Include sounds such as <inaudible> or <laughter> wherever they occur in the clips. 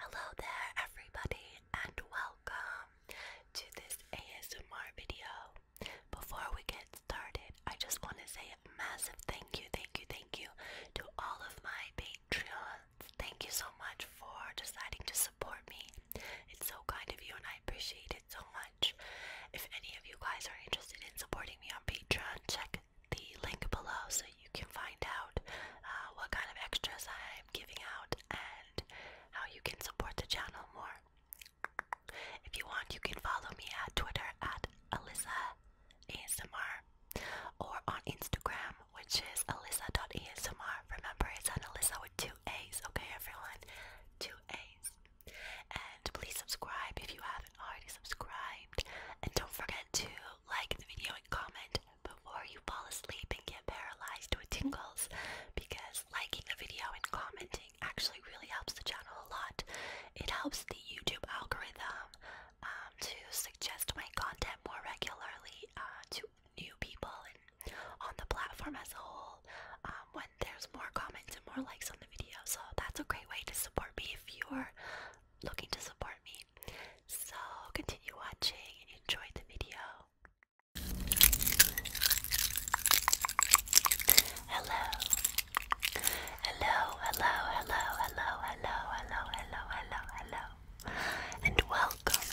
Hello there, everybody, and welcome to this ASMR video. Before we get started, I just want to say massive thank you, thank you, thank you to all of my Patreons. Thank you so much for deciding to support me. It's so kind of you, and I appreciate it so much. If any of you guys are interested in supporting me on Patreon, check the link below you can find out uh, what kind of extras I'm giving out and how you can support the channel more. If you want, you can follow me at Twitter at Alyssa ASMR or on Instagram, which is Alyssa.ASMR. Remember, it's an Alyssa with two A's, okay, everyone? Two A's. And please subscribe if you haven't already subscribed. And don't forget to like the video and comment before you fall asleep and get paralyzed with tingles because liking the video and commenting actually really helps the channel a lot. It helps the YouTube algorithm um, to suggest my content more regularly uh, to new people and on the platform as a whole um, when there's more comments and more likes on the video. So that's a great way to support me if you're looking to support me so continue watching and enjoy the video. Hello. Hello, hello, hello, hello, hello, hello, hello, hello, hello. And welcome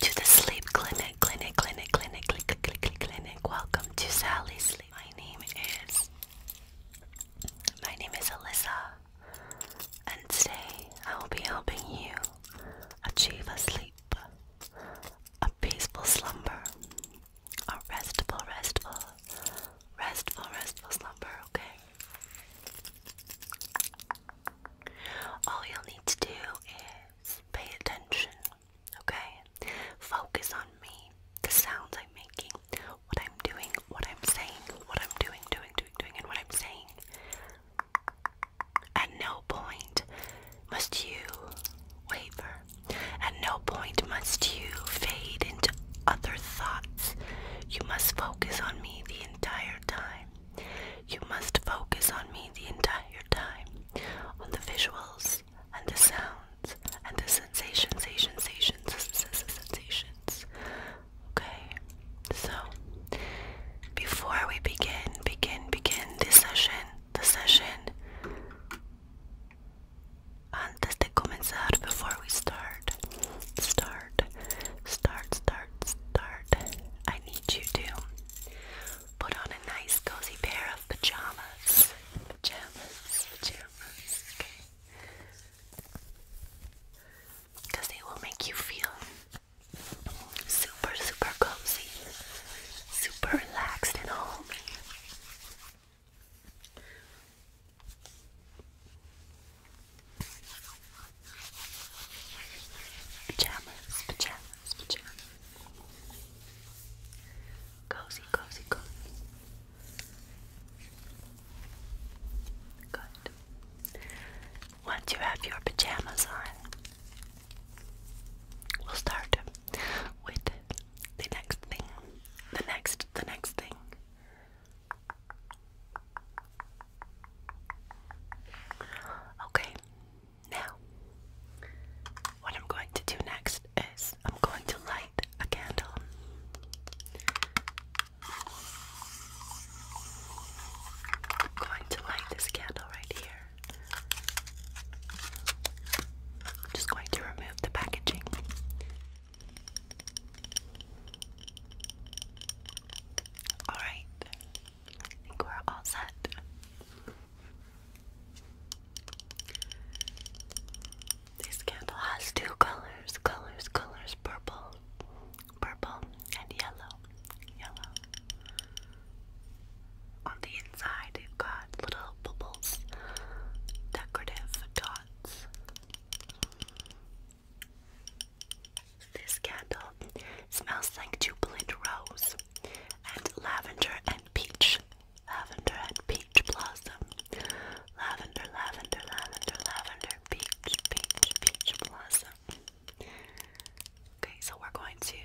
to the sleep clinic, clinic, clinic, clinic, clinic, clinic, clinic. Welcome to Sally's Sleep. My name is my name is Alyssa and today I will be helping you achieve a sleep, a peaceful slumber, a restful, restful, restful, restful slumber, okay? All you'll need to do is pay attention, okay? Focus on me, the sounds I'm making what I'm doing, what I'm saying, what I'm doing, doing, doing, doing, and what I'm saying. At no point must you waver. At no point must you fade into other thoughts. You must focus on me the entire time. You must focus on me the entire time, on the visuals and the sound sounds and the sensations, sensations, sensations, sensations. Okay, so before we begin, begin, begin this session, the session. Antes de comenzar, before we start, start, start, start, start, I need you to put on a nice cozy pair of pajamas. Pajamas, pajamas, okay because they will make you feel super, super cozy, super relaxed and home. Pajamas, pajamas, pajamas. Cozy, cozy, cozy. Good. Once you have your pajamas on, we'll start with the next thing. The next, the next thing. Okay, now what I'm going to do next is I'm going to light a candle. I'm going to light this candle right here. just going to remove the packaging. Alright, I think we're all set. This candle has two colors, colors, colors, purple, purple, and yellow, yellow. On the inside, you've got little bubbles, decorative dots. This candle smells like jubilant rose and lavender and peach lavender and peach blossom. Lavender, lavender, lavender, lavender, peach, peach, peach blossom. Okay, so we're going to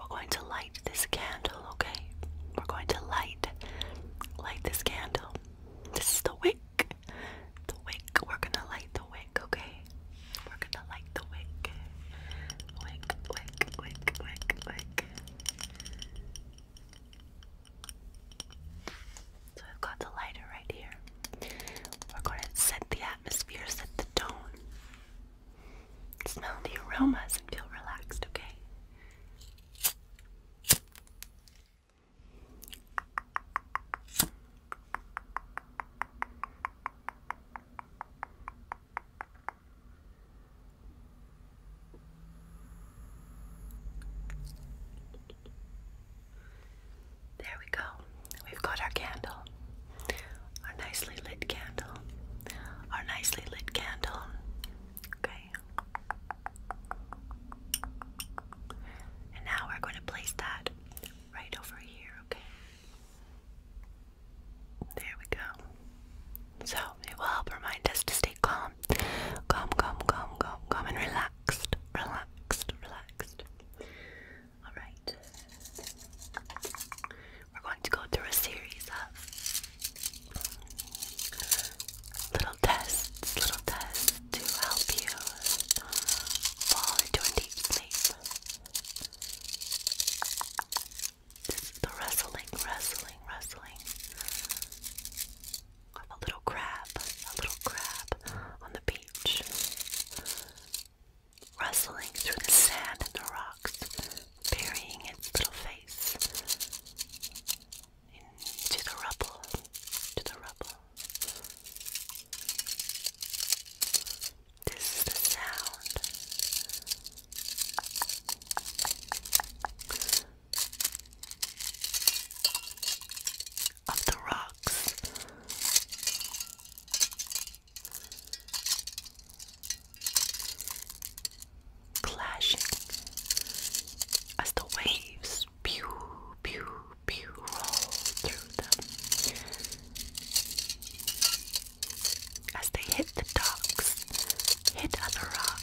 we're going to light this candle, okay? We're going to light light this candle. This is the wick. The wick. We're gonna light the wick, okay? We're gonna light the wick. Wick, wick, wick, wick, wick. So I've got the lighter right here. We're going to set the atmosphere, set the tone. Smell the aromas and feel relaxed, okay? There we go. We've got our candle. Our nicely lit candle. Our nicely lit candle. Okay. And now we're going to place that right over here, okay? There we go. So it will help remind us to stay calm. Calm, calm, calm, calm, calm, and relaxed. Relaxed, relaxed. Alright. We're going to go through a series of little tests, little tests to help you fall into a deep sleep. This is the wrestling, wrestling, A little crab, a little crab on the beach. Rustling through the sand and the rocks, burying its little face into the rubble, to the rubble. This is the sound of the rocks. Clashing as the waves pew, pew, pew roll through them as they hit the rocks, hit other rocks.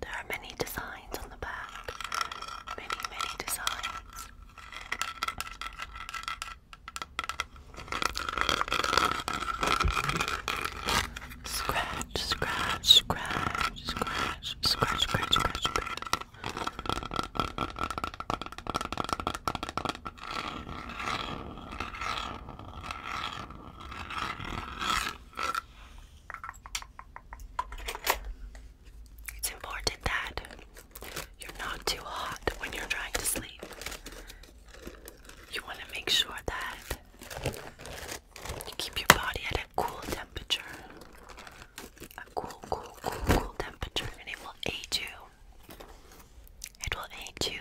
There are many designs on the back, many, many designs. Scratch, scratch, scratch, scratch, scratch, scratch, scratch, It's important that you're not too hot when you're trying to sleep. You want to make sure that you keep your body at a cool temperature. A cool, cool, cool, cool temperature, and it will aid you. It will aid you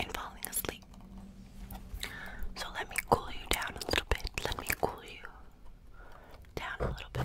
in falling asleep. So let me cool you down a little bit. Let me cool you down a little bit.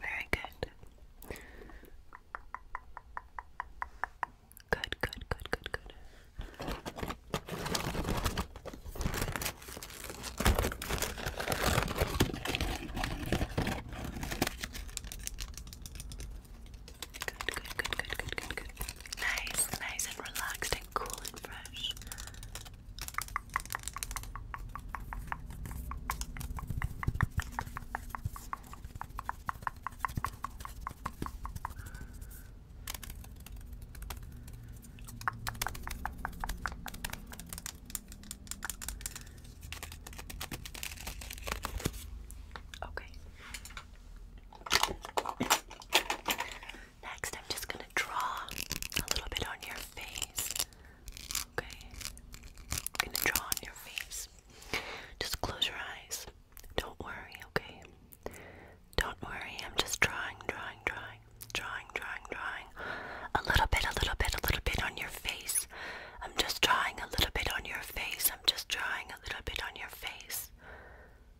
Very good. Good, good, good, good, good. Good, good, good, good, good, good, good. Nice, nice and relaxed and cool and fresh. Okay. Next, I'm just gonna draw a little bit on your face. Okay, gonna draw on your face. Just close your eyes. Don't worry, okay? Don't worry, I'm just drawing, drawing, drawing, drawing, drawing, drawing. A little bit, a little bit, a little bit on your face. I'm just drawing a little bit on your face. I'm just drawing a little bit on your face.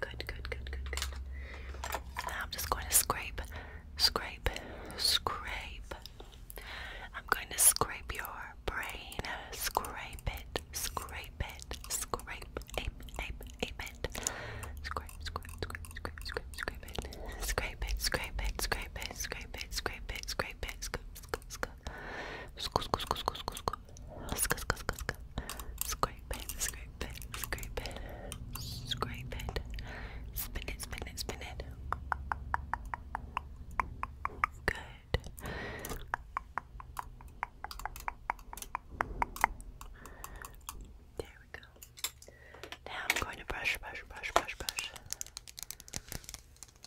Good, good, good, good, good. Now I'm just going to scrape, scrape, scrape. I'm going to scrape your brain. Scrape it, scrape it, scrape, ape, ape, ape it. Scrape, scrape, scrape, scrape, scrape, scrape it. Scrape it, scrape it, scrape it, scrape it, scrape it, scrape it, scrape it, scrape, scrape, Scrape it, scrape it, scrape it, scrape it, spin it, spin it, spin it. Good. There we go. Now I'm going to brush, brush, brush, brush, brush.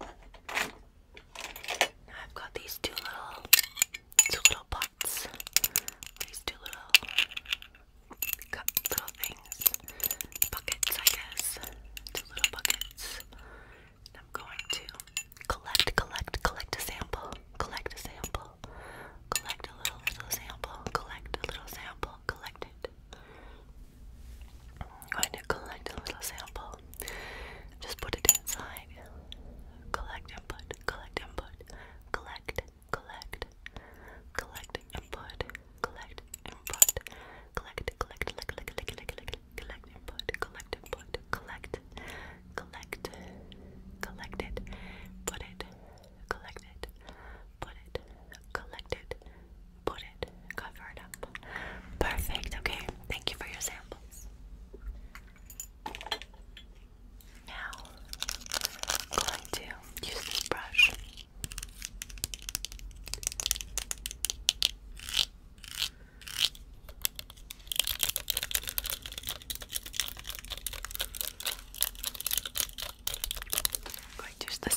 I've got these two little two little pots. These two little little things. Buckets, I guess. Two little buckets. I'm going to collect, collect, collect a sample. Collect a sample. Collect a little little sample. Collect a little sample. Collect it going to collect a little sample. Just put it inside. Collect input, collect input, collect, collect, collect input, collect input, collect, collect, collect, collect, collect, collect input, collect input, collect, collect, collect it, put it, collect it, put it, collect it, put it, cover it up. Perfect, okay. Thank you for your samples. Now, going to use this brush. going to use the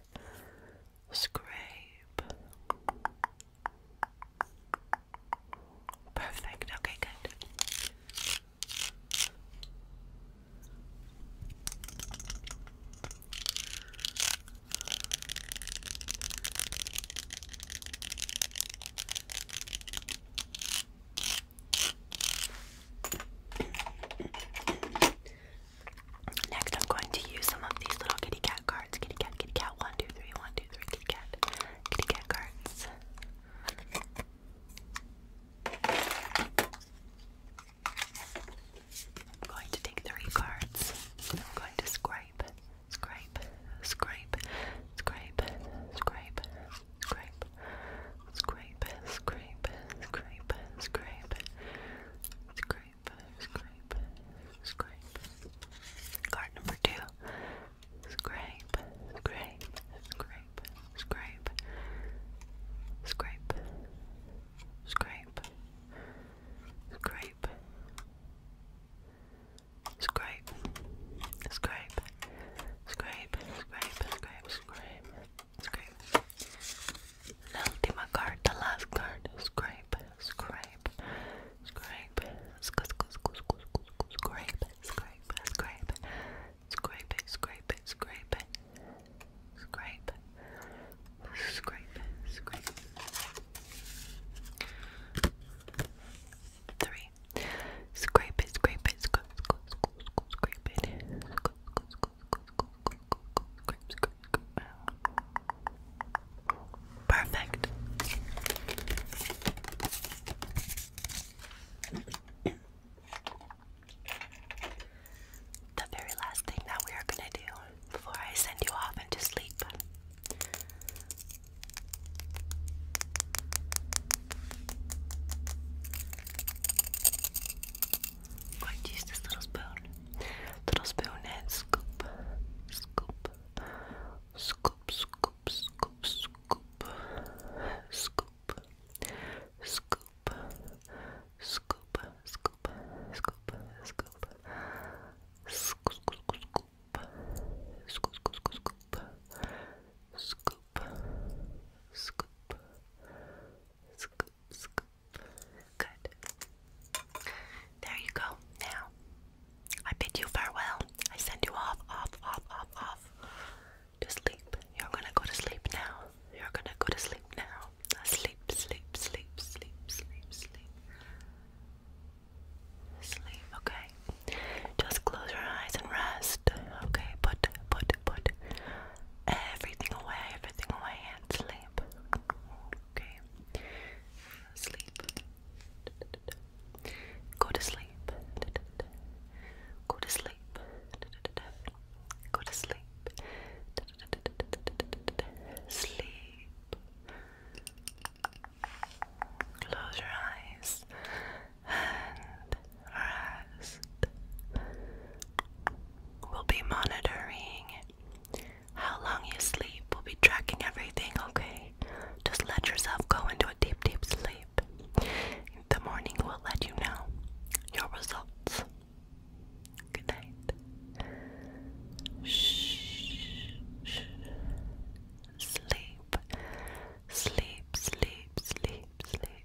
Scrape. Perfect. Okay, good. Next, I'm going to use some of these little kitty cat cards. Kitty cat, kitty cat, one, two, three, one, two, three, kitty cat, kitty cat cards. I'm going to take three cards. I'm going to scrape, scrape, scrape, scrape, scrape, scrape, Scrape it, scrape scrape scrape Scrape scrape scrape Card number two. Scrape, scrape, scrape, scrape. Scrape, scrape, scrape. Scrape, scrape, scrape, scrape, scrape, scrape, scrape, L'ultima card, the last card. Scrape, scrape, scrape, scrape, scrape, scrape, scrape, scrape, scrape, scrape, scrape, scrape, scrape. Three. Scrape it, scrape it, scrape, scrape, scrape, scrape it, scrape, scrape, Perfect. The very last thing that we are going to do before I send you off into sleep i this little spoon. Little spoon scoop, scoop, scoop, scoop, scoop, scoop, scoop, scoop, scoop, scoop, scoop, scoop, scoop, scoop, scoop, scoop, scoop, scoop, scoop, scoop, scoop, scoop. Good. There you go. Now, I bid you farewell. I send you off, off, off, off, off to sleep. You're gonna go to sleep now. You're gonna go to sleep now. Sleep, sleep, sleep, sleep, sleep, sleep. Sleep, okay. Just close your eyes and rest. Okay, put put put everything away, everything away, and sleep. Okay? Sleep. Go to sleep. Go to sleep. Go to sleep. Sleep. Close your eyes and <sighs> rest. We'll be monitoring how long you sleep. We'll be tracking everything, okay? Just let yourself go into a deep, deep sleep. In the morning, we'll let you know your results. Good night. shh. Sleep. Sleep, sleep, sleep, sleep